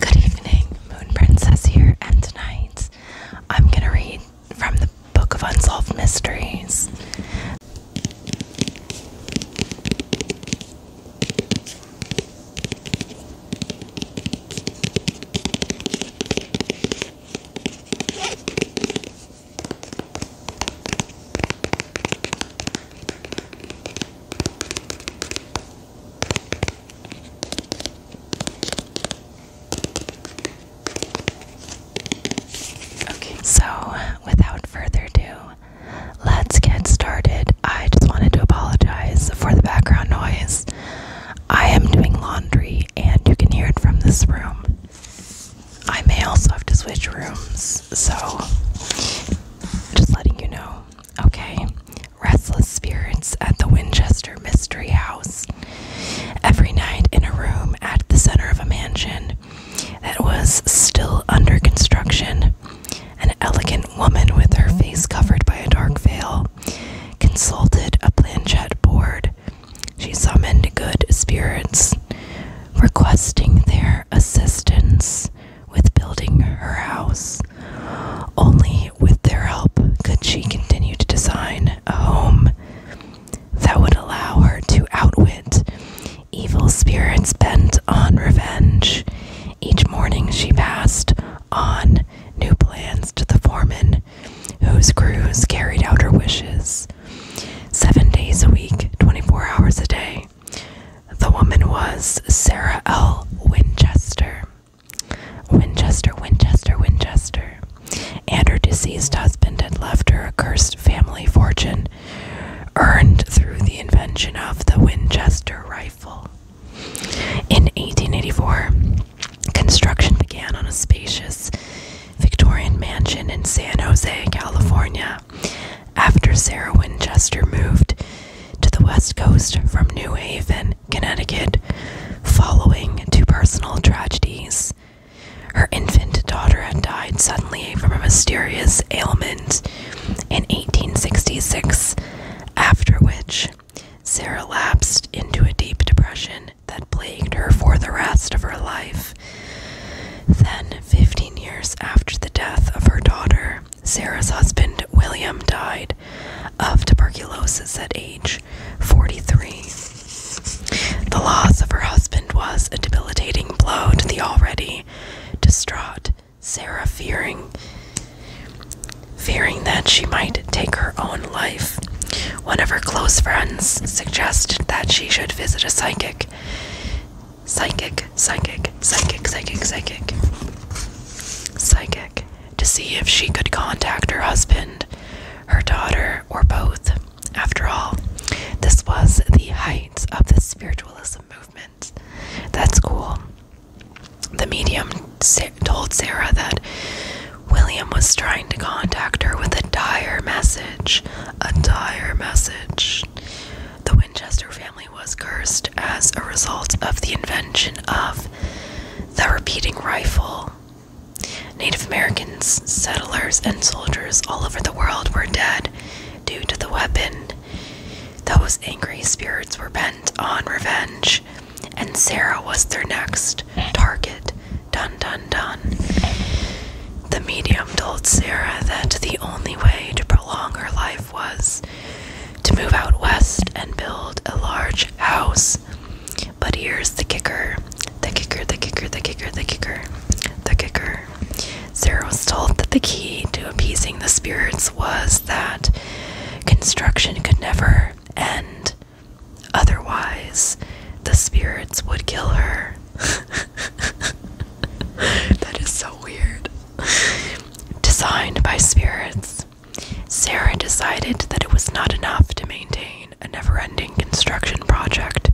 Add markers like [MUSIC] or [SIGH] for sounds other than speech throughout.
Good evening, Moon Princess here, and tonight I'm going to read from the Book of Unsolved Mysteries. Okay, so without further ado, let's get started. I just wanted to apologize for the background noise. I am doing laundry, and you can hear it from this room. I may also have to switch rooms, so just letting you know. Okay, restless spirits at the Winchester Mystery House. Every night in a room at the center of a mansion that was still under construction, an elegant woman with her face covered by a dark veil consulted a planchette board she summoned good spirits, requesting their assistance with building her house. Only with their help could she continue to design a home that would allow her to outwit evil spirits bent on revenge. Each morning she passed on new plans to the foreman, whose crews carried out her wishes. Seven days a week, 24 hours a day. The woman was Sarah L. Winchester. Winchester, Winchester, Winchester. And her deceased husband had left her a cursed family fortune earned through the invention of the Winchester rifle. In 1884, construction began on a spacious Victorian mansion in San Jose, California, after Sarah Winchester moved to the West Coast from New Haven, Connecticut, following two personal tragedies. Her infant daughter had died suddenly from a mysterious ailment in 1866, after which Sarah lapsed into a deep depression that plagued her for the rest of her life. Then, 15 years after the death of her daughter, Sarah's husband William died of tuberculosis at age 43. The loss of her husband was a debilitating blow to the already distraught Sarah, fearing fearing that she might take her own life. One of her close friends suggested that she should visit a psychic. Psychic, psychic, psychic, psychic, psychic. Psychic to see if she could contact her husband, her daughter, or both. After all, this was the height of the spiritualism movement. That's cool. The medium told Sarah that William was trying to contact her with a dire message. A dire message. The Winchester family was cursed as a result of the invention of the repeating rifle. Native Americans, settlers, and soldiers all over the world were dead due to the weapon. Those angry spirits were bent on revenge and Sarah was their next target. Dun dun dun. The medium told Sarah that the only way to prolong her life was to move out west and build a large house. But here's the kicker the kicker, the kicker, the kicker, the kicker, the kicker. Sarah was told that the key to appeasing the spirits was that construction could never end. Otherwise, the spirits would kill her. [LAUGHS] that is so weird. Designed by spirits, Sarah decided that it was not enough to maintain a never ending construction project.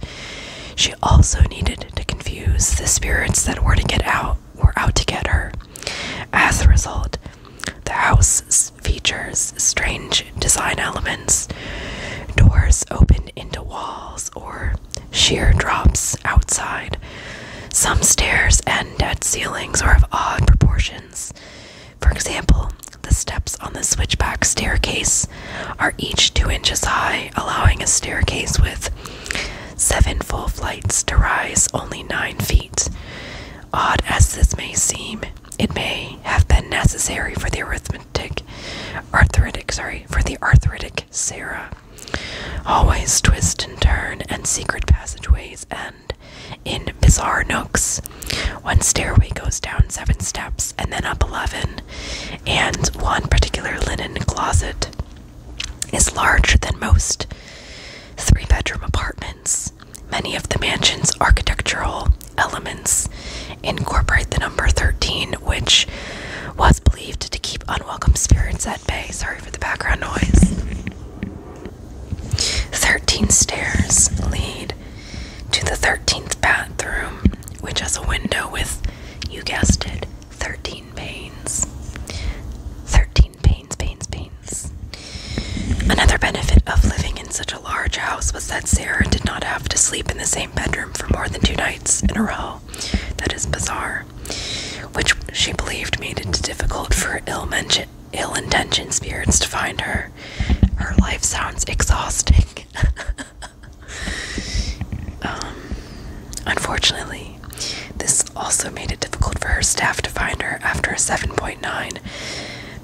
She also needed to confuse the spirits that were to get out were out to get her. As a result, the house features strange design elements, doors open into walls or sheer drops outside. Some stairs end at ceilings are of odd proportions. For example, the steps on the switchback staircase are each two inches high, allowing a staircase with seven full flights to rise only nine feet. Odd as this may seem, it may have been necessary for the arithmetic, arthritic, sorry, for the arthritic Sarah. Always twist and turn and secret passageways and in bizarre nooks. One stairway goes down seven steps and then up eleven, and one particular linen closet is larger than most three bedroom apartments. Many of the mansion's architectural elements incorporate the number 13, which was believed to keep unwelcome spirits at bay. Sorry for the background noise. 13 stairs lead to the 13th bathroom, which has a window with, you guessed it, 13 panes. 13 pains, pains, pains. Another benefit of living in such a large house was that Sarah did not have to sleep in the same bedroom for more than two nights in a row. That is bizarre. Which she believed made it difficult for ill, ill intentioned spirits to find her. Her life sounds exhausting. [LAUGHS] Um, unfortunately, this also made it difficult for her staff to find her after a 7.9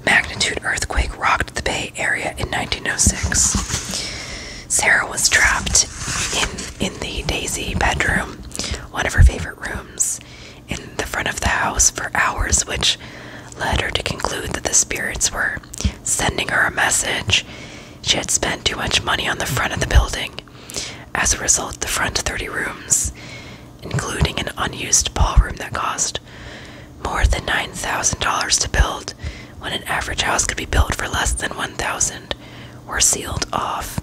magnitude earthquake rocked the Bay Area in 1906. Sarah was trapped in, in the Daisy bedroom, one of her favorite rooms, in the front of the house for hours, which led her to conclude that the spirits were sending her a message. She had spent too much money on the front of the building as a result, the front 30 rooms, including an unused ballroom that cost more than $9,000 to build, when an average house could be built for less than 1000 were sealed off.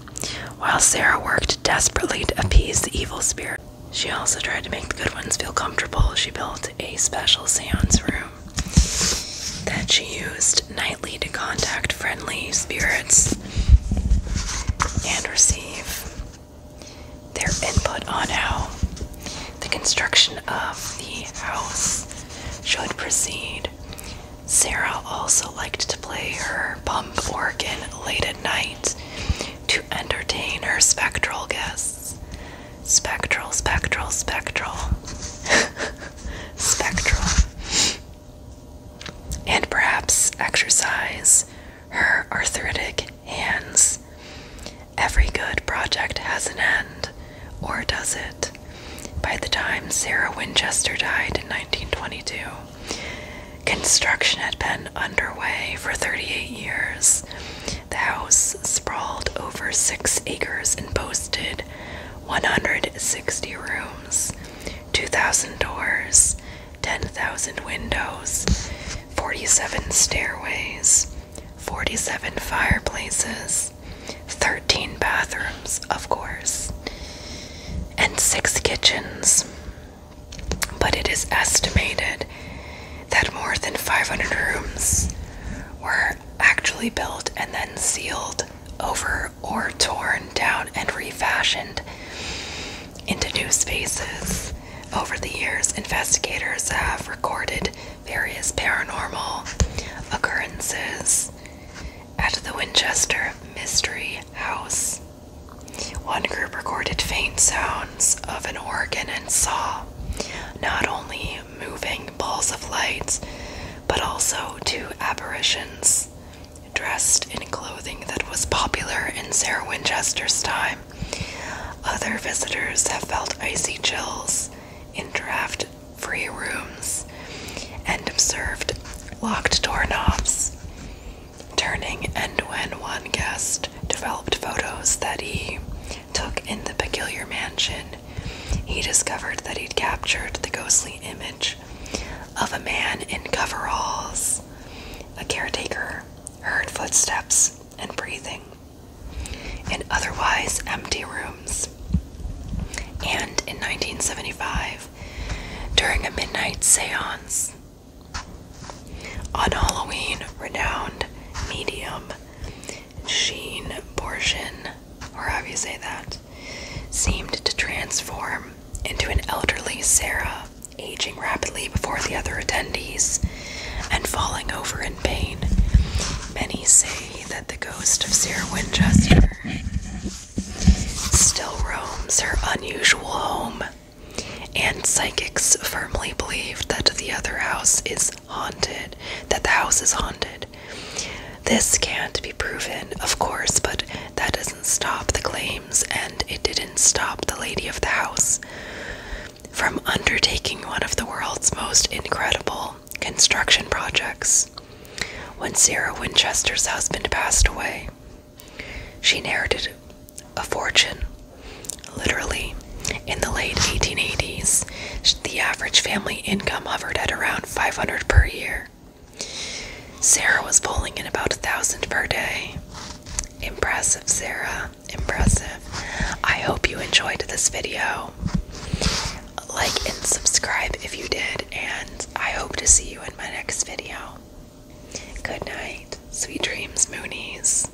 While Sarah worked desperately to appease the evil spirit, she also tried to make the good ones feel comfortable. She built a special seance room that she used nightly to contact friendly spirits and receive their input on how the construction of the house should proceed. Sarah also liked to play her pump organ late at night to entertain her spectral guests. Spectral, spectral, spectral. [LAUGHS] spectral and perhaps exercise her arthritic hands. Every good project has an end, or does it? By the time Sarah Winchester died in 1922, construction had been underway for 38 years. The house sprawled over six acres and boasted 160 rooms. 2,000 doors, 10,000 windows, 47 stairways, 47 fireplaces, 13 bathrooms, of course, and 6 kitchens. But it is estimated that more than 500 rooms were actually built and then sealed over or torn down and refashioned into new spaces. Over the years, investigators have recorded various paranormal occurrences at the Winchester Mystery House. One group recorded faint sounds of an organ and saw not only moving balls of light, but also to apparitions dressed in clothing that was popular in Sarah Winchester's time. Other visitors have felt icy chills in draft free rooms and observed locked doorknobs turning, and when one guest developed photos that he took in the peculiar mansion, he discovered that he'd captured the ghostly image of a man in coveralls. A caretaker heard footsteps and breathing in otherwise empty rooms. And in 1975, during a midnight seance, on Halloween, renowned medium Sheen Borgin or however you say that, seemed to transform into an elderly Sarah, aging rapidly before the other attendees and falling over in pain. Many say that the ghost of Sarah Winchester still roams her unusual home, and psychics firmly believe that the other house is haunted, that the house is haunted. This can't be proven, of course, but that doesn't stop the claims, and it didn't stop the lady of the house from undertaking one of the world's most incredible construction projects. When Sarah Winchester's husband passed away, she inherited a fortune, literally in the late 1880s, the average family income hovered at around 500 per year. Sarah was pulling in about a thousand per day. Impressive, Sarah. Impressive. I hope you enjoyed this video. Like and subscribe if you did, and I hope to see you in my next video. Good night. Sweet dreams, Moonies.